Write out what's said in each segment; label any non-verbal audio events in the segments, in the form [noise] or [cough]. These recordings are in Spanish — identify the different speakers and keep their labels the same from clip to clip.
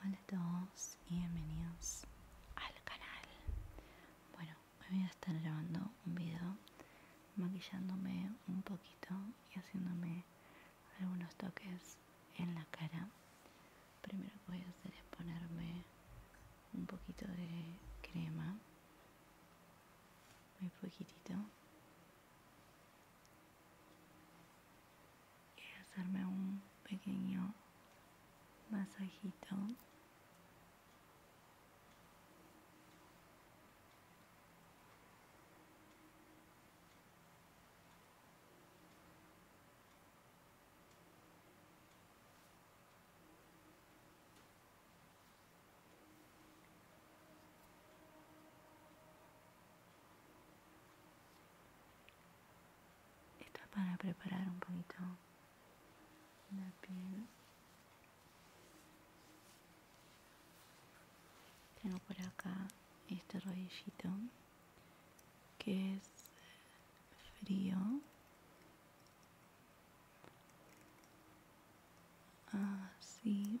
Speaker 1: Hola a todos y bienvenidos al canal Bueno, hoy voy a estar grabando un video maquillándome un poquito y haciéndome algunos toques en la cara Primero que voy a hacer es ponerme un poquito de crema Muy poquitito y hacerme un pequeño masajito esto para preparar un poquito la piel. Tengo por acá este rodillito que es frío.
Speaker 2: Así.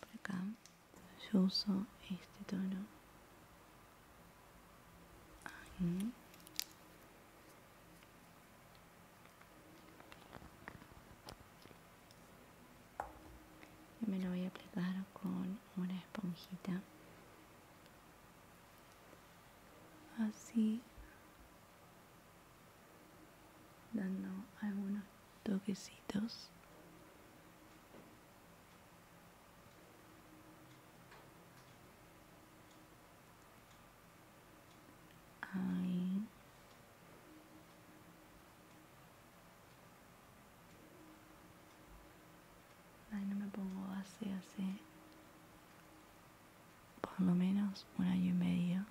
Speaker 1: Por acá yo uso este tono. Y me lo voy a aplicar con una esponjita. Así dando algunos toquecitos
Speaker 2: ahí ahí no me
Speaker 1: pongo hace hace por lo menos un año y medio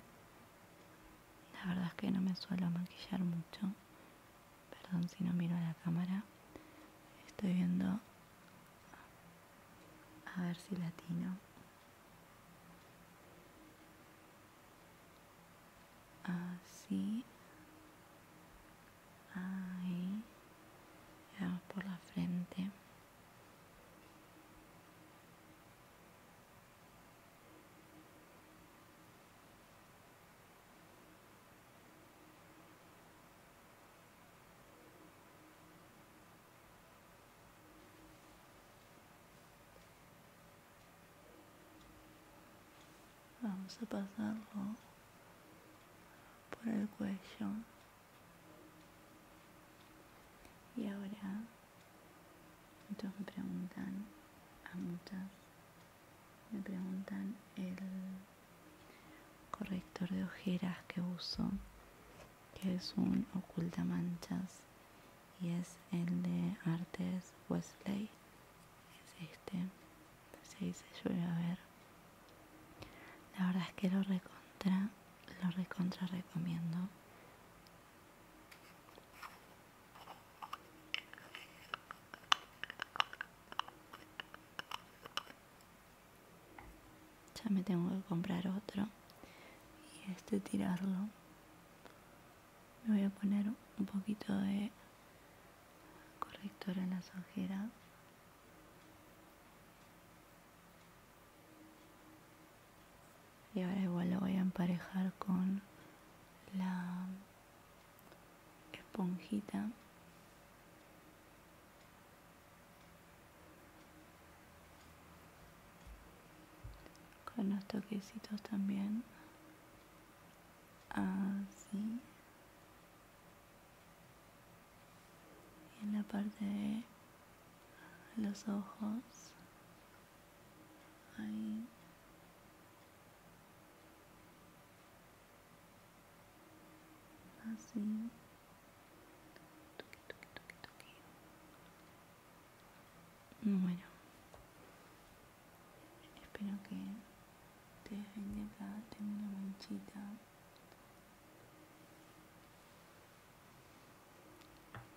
Speaker 1: la verdad es que no me suelo maquillar mucho. Perdón si no miro a la cámara. Estoy viendo a ver si latino. Así. Ahí. Le por la frente. Vamos a pasarlo por el cuello. Y ahora entonces me preguntan a muchas, me preguntan el corrector de ojeras que uso, que es un oculta manchas y es el de Artes Wesley, es este, se dice yo a ver. La verdad es que lo recontra, lo recontra recomiendo. Ya me tengo que comprar otro. Y este tirarlo. Me voy a poner un poquito de corrector en las ojeras y ahora igual lo voy a emparejar con la esponjita con los toquecitos también así y en la parte de los ojos Ahí. Así. Toque, toque, toque, toque. Bueno. Espero que te dejen de acá. Tengo una manchita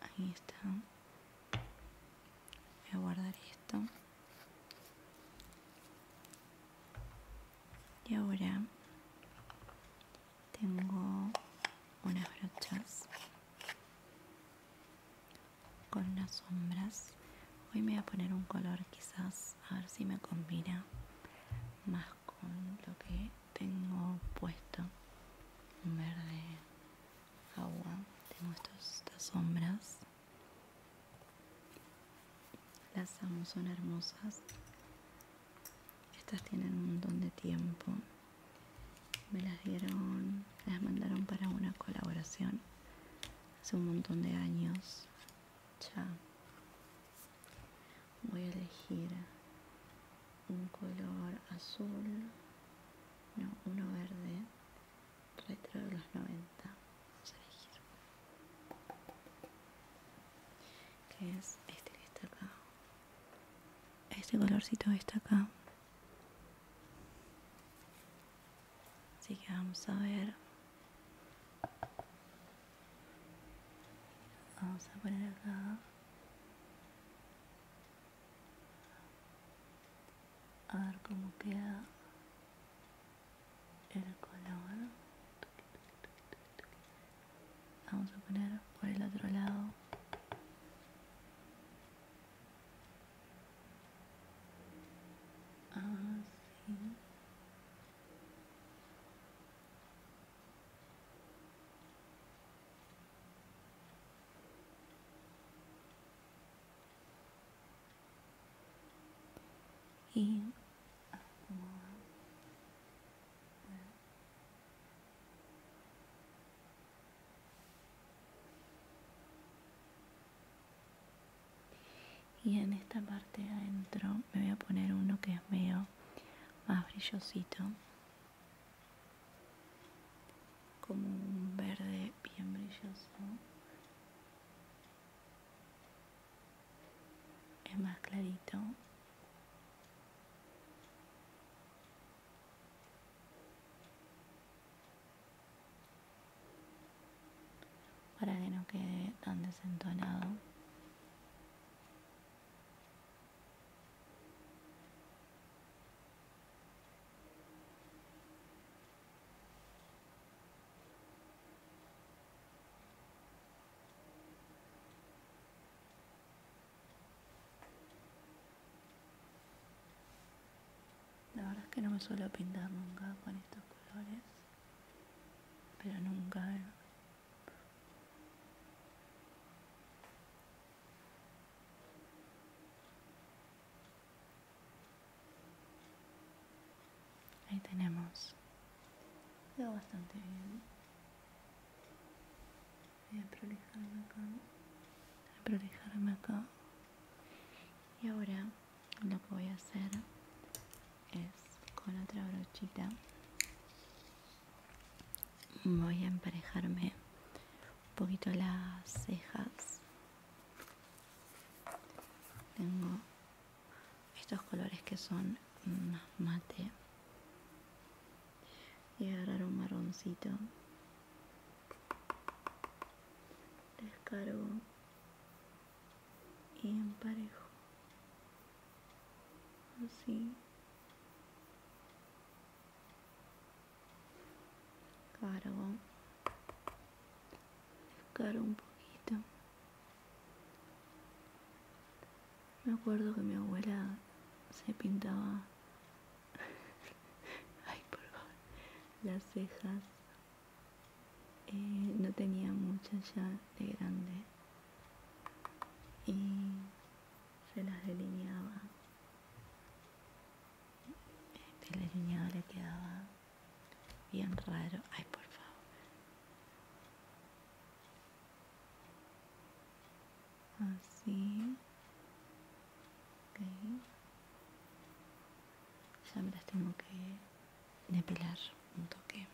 Speaker 1: ahí está voy a guardar esto y ahora tengo unas brochas con las sombras hoy me voy a poner un color quizás a ver si me combina más con lo que tengo puesto un verde agua tengo estas sombras las amo son hermosas estas tienen un montón de tiempo me las dieron las mandaron para una colaboración hace un montón de años ya voy a elegir un color azul, no, uno verde, retro de los 90, vamos a elegir, que es este que está acá, este colorcito está acá, así que vamos a ver, vamos a poner acá a ver cómo queda el color vamos a poner por el otro lado ah, y en esta parte de adentro me voy a poner uno que es medio más brillosito como un verde bien brilloso es más clarito para que no quede tan desentonado la verdad es que no me suelo pintar nunca con estos colores, pero nunca eh. Ahí tenemos. Quedó bastante bien. Voy a prolijarme acá. Voy a prolijarme acá. Y ahora lo que voy a hacer es con otra brochita voy a emparejarme un poquito las cejas tengo estos colores que son más mate y agarrar un marroncito descargo y emparejo así Claro, un poquito. Me acuerdo que mi abuela se pintaba, [laughs] ay las cejas. Eh, no tenía muchas ya de grande y se las delineaba el este delineado le quedaba bien raro. Ay, por favor. Así. Ya me las tengo que depilar un toque.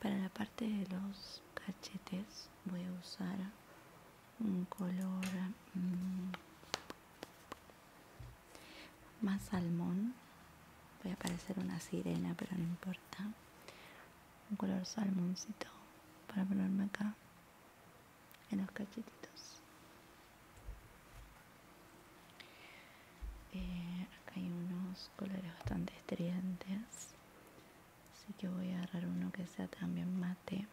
Speaker 1: Para la parte de los cachetes voy a usar un color mm, más salmón voy a parecer una sirena pero no importa un color salmoncito para ponerme acá en los cachetitos eh, acá hay unos colores bastante estridentes así que voy a agarrar uno que sea también mate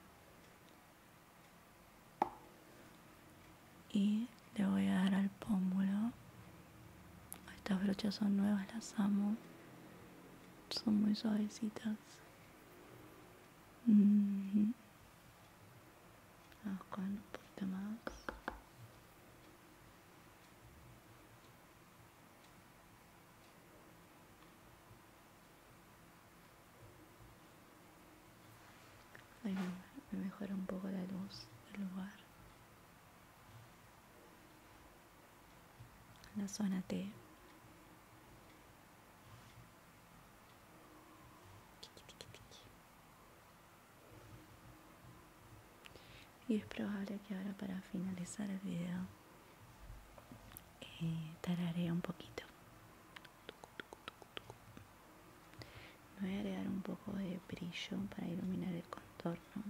Speaker 1: y le voy a dar al pómulo estas brochas son nuevas las amo son muy suavecitas vamos con un más me, mejora un poco la luz del lugar. La zona T. Y es probable que ahora para finalizar el video eh, un poquito. Me voy a agregar un poco de brillo para iluminar el contorno.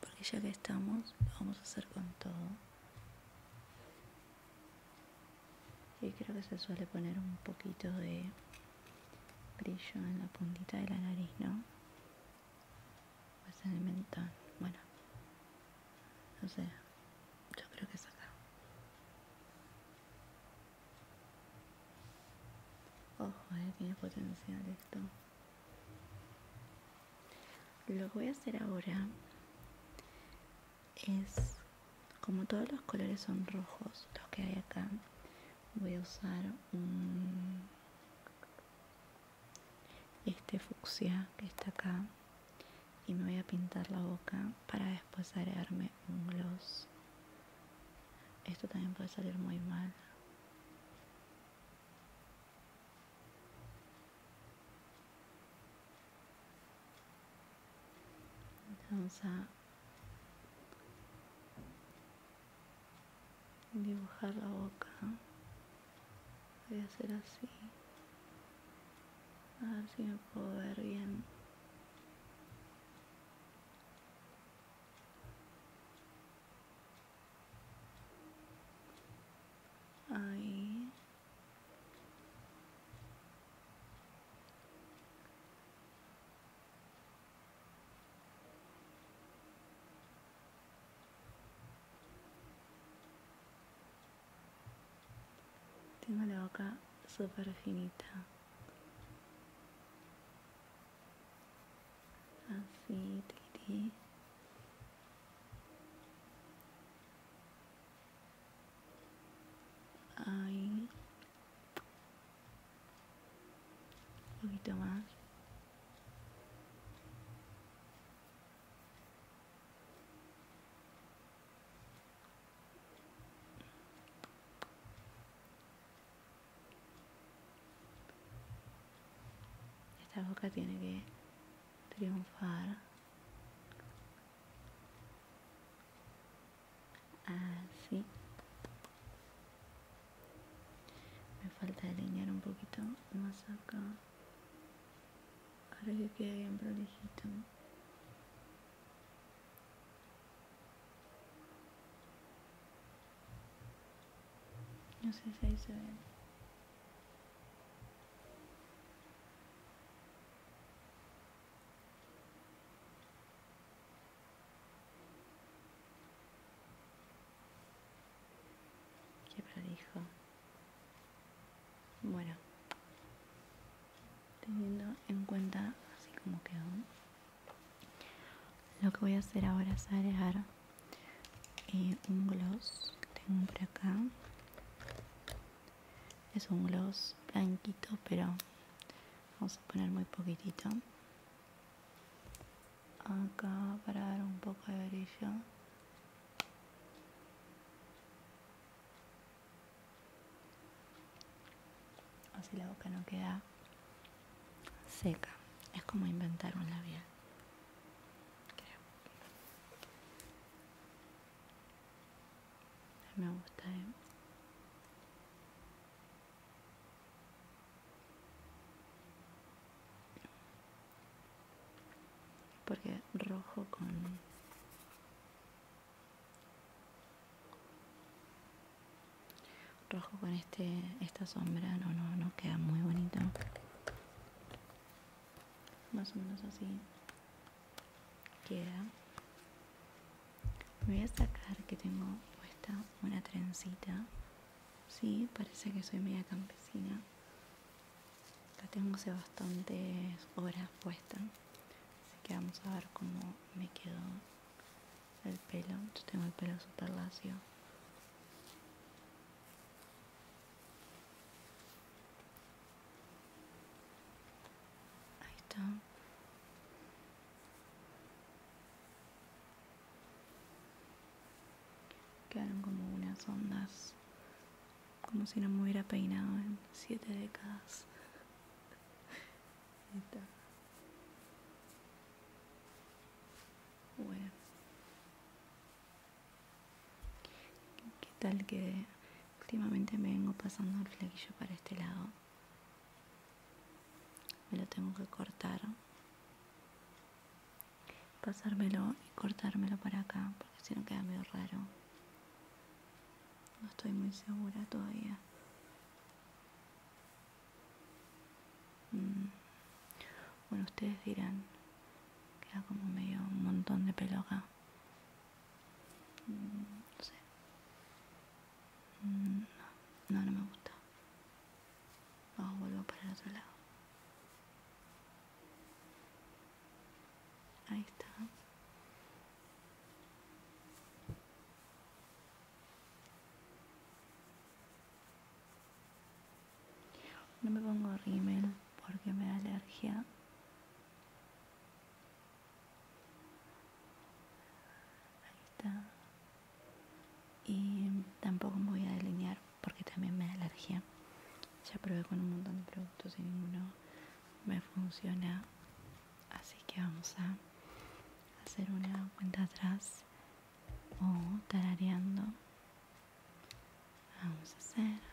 Speaker 1: Porque ya que estamos, lo vamos a hacer con todo. Y creo que se suele poner un poquito de brillo en la puntita de la nariz, ¿no? va pues a en el mentón, bueno, no sé, yo creo que es acá. Ojo, a eh, tiene potencial esto. Lo que voy a hacer ahora es, como todos los colores son rojos, los que hay acá, voy a usar un este fucsia que está acá y me voy a pintar la boca para después agregarme un gloss esto también puede salir muy mal vamos a dibujar la boca voy a hacer así a ver si me puedo ver bien ahí Tengo la boca súper finita. Así, tiquití. Ahí. Un poquito más. Esta boca tiene que triunfar así me falta delinear un poquito más acá Ahora que quede bien prolijito. No sé si ahí se ve. Qué prolijo. Bueno, teniendo en cuenta así como quedó, lo que voy a hacer ahora es agregar eh, un gloss que tengo por acá. Es un gloss blanquito, pero vamos a poner muy poquitito. Acá para dar un poco de brillo Así la boca no queda seca. Es como inventar un labial. Me gusta, eh. Porque rojo con... Rojo con este, esta sombra no, no, no queda muy bonito. Más o menos así queda. voy a sacar que tengo puesta una trencita. Sí, parece que soy media campesina acá tengo hace bastantes horas puesta, así que vamos a ver cómo me quedó el pelo. Yo tengo el pelo súper lacio. Ahí está. Quedaron como unas ondas como si no me hubiera peinado en siete décadas. ¿Qué tal que últimamente me vengo pasando el flequillo para este lado? Me lo tengo que cortar pasármelo y cortármelo para acá, porque si no queda medio raro. No estoy muy segura todavía. Mm. Bueno, ustedes dirán, queda como medio un montón de pelo acá. Mm, no sé. Mm, no, no, me gusta. Vamos, vuelvo para el otro lado. Ahí está. No me pongo rímel porque me da alergia. Ahí está. Y tampoco me voy a delinear porque también me da alergia. Ya probé con un montón de productos y ninguno me funciona. Así que vamos a hacer una cuenta atrás o tarareando. Vamos a hacer.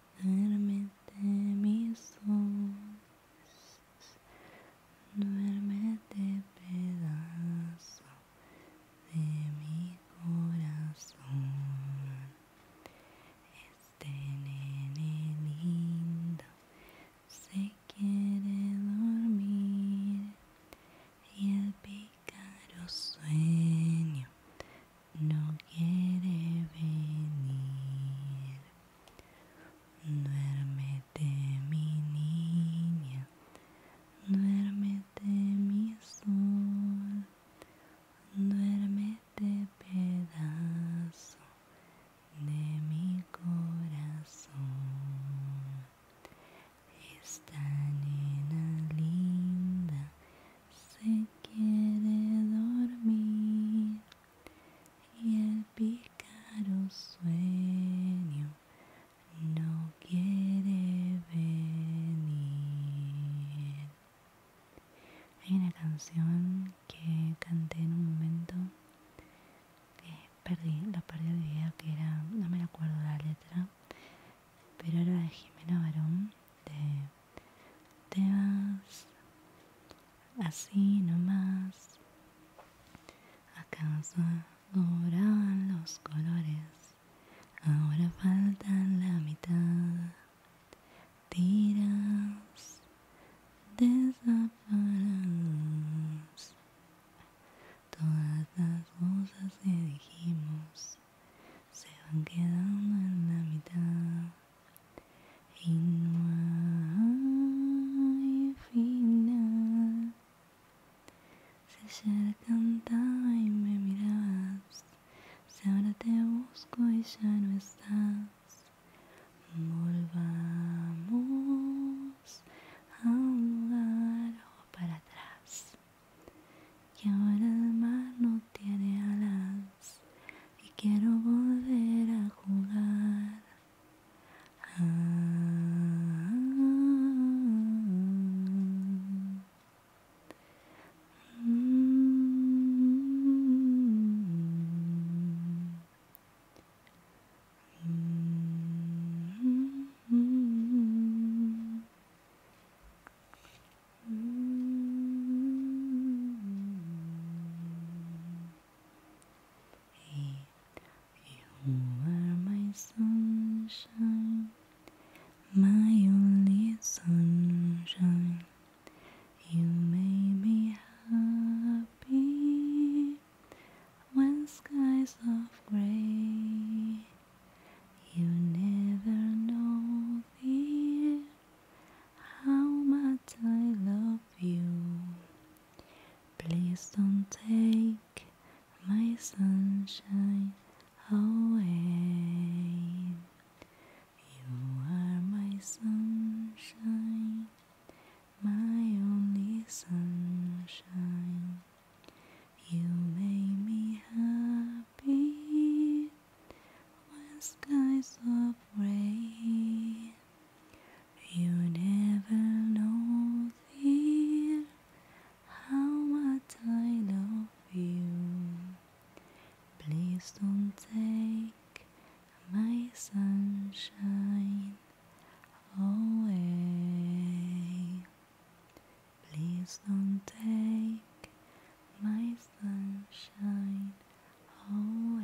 Speaker 1: Duérmete mis ojos, duérmete pedazo de mi corazón. Este nene lindo se quiere dormir y el pícaro sueño no quiere venir. Duérmete mi niña, duérmete mi sol, duérmete pedazo de mi corazón. Esta nena linda se quiere dormir y el pícaro sueño no quiere venir. Hay una canción que canté en un momento perdí, la perdí de día que era, no me acuerdo la letra, pero ahora de Jimena Barón, de Te vas así nomás, acaso oraban los colores, ahora faltan la mitad, tiras, desaparamos, todas las cosas que dijimos se van quedando en la mitad y no hay final. Si ayer tanta y me mirabas, si ahora te busco y ya no estás, volvamos a un lugar o para atrás. Y ahora el mar no tiene alas y quiero volver a
Speaker 2: jugar. Mm. you are
Speaker 1: my sunshine, my only sunshine. You make me happy when skies are grey you never know, dear, how much I love you. Please don't take my sunshine away. You are my sunshine, my only sunshine. You make me happy be when skies of gray. You never know dear, how much I love you. Please don't take my sunshine away. Please don't take my
Speaker 2: sunshine away.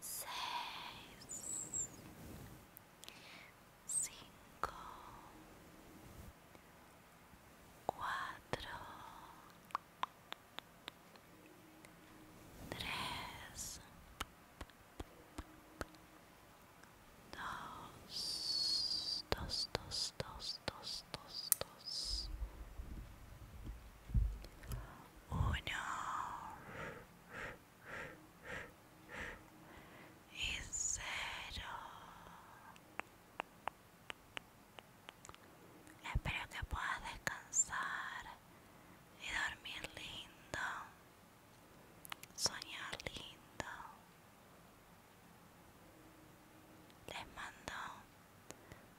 Speaker 2: seis, cinco, quatro,
Speaker 1: três, dois, dois, dois, dois, dois, dois, dois. uno y cero. Espero que puedas descansar y dormir lindo, soñar lindo. Les mando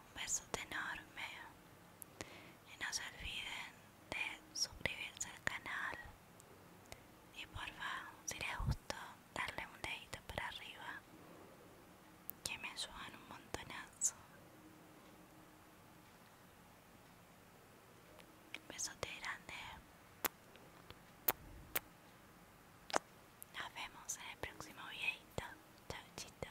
Speaker 1: un besote enorme y no se olviden de suscribirse al canal y porfa si les gustó darle un dedito para arriba que me ayudan un montonazo besote grande
Speaker 2: nos vemos en el próximo videito chau chito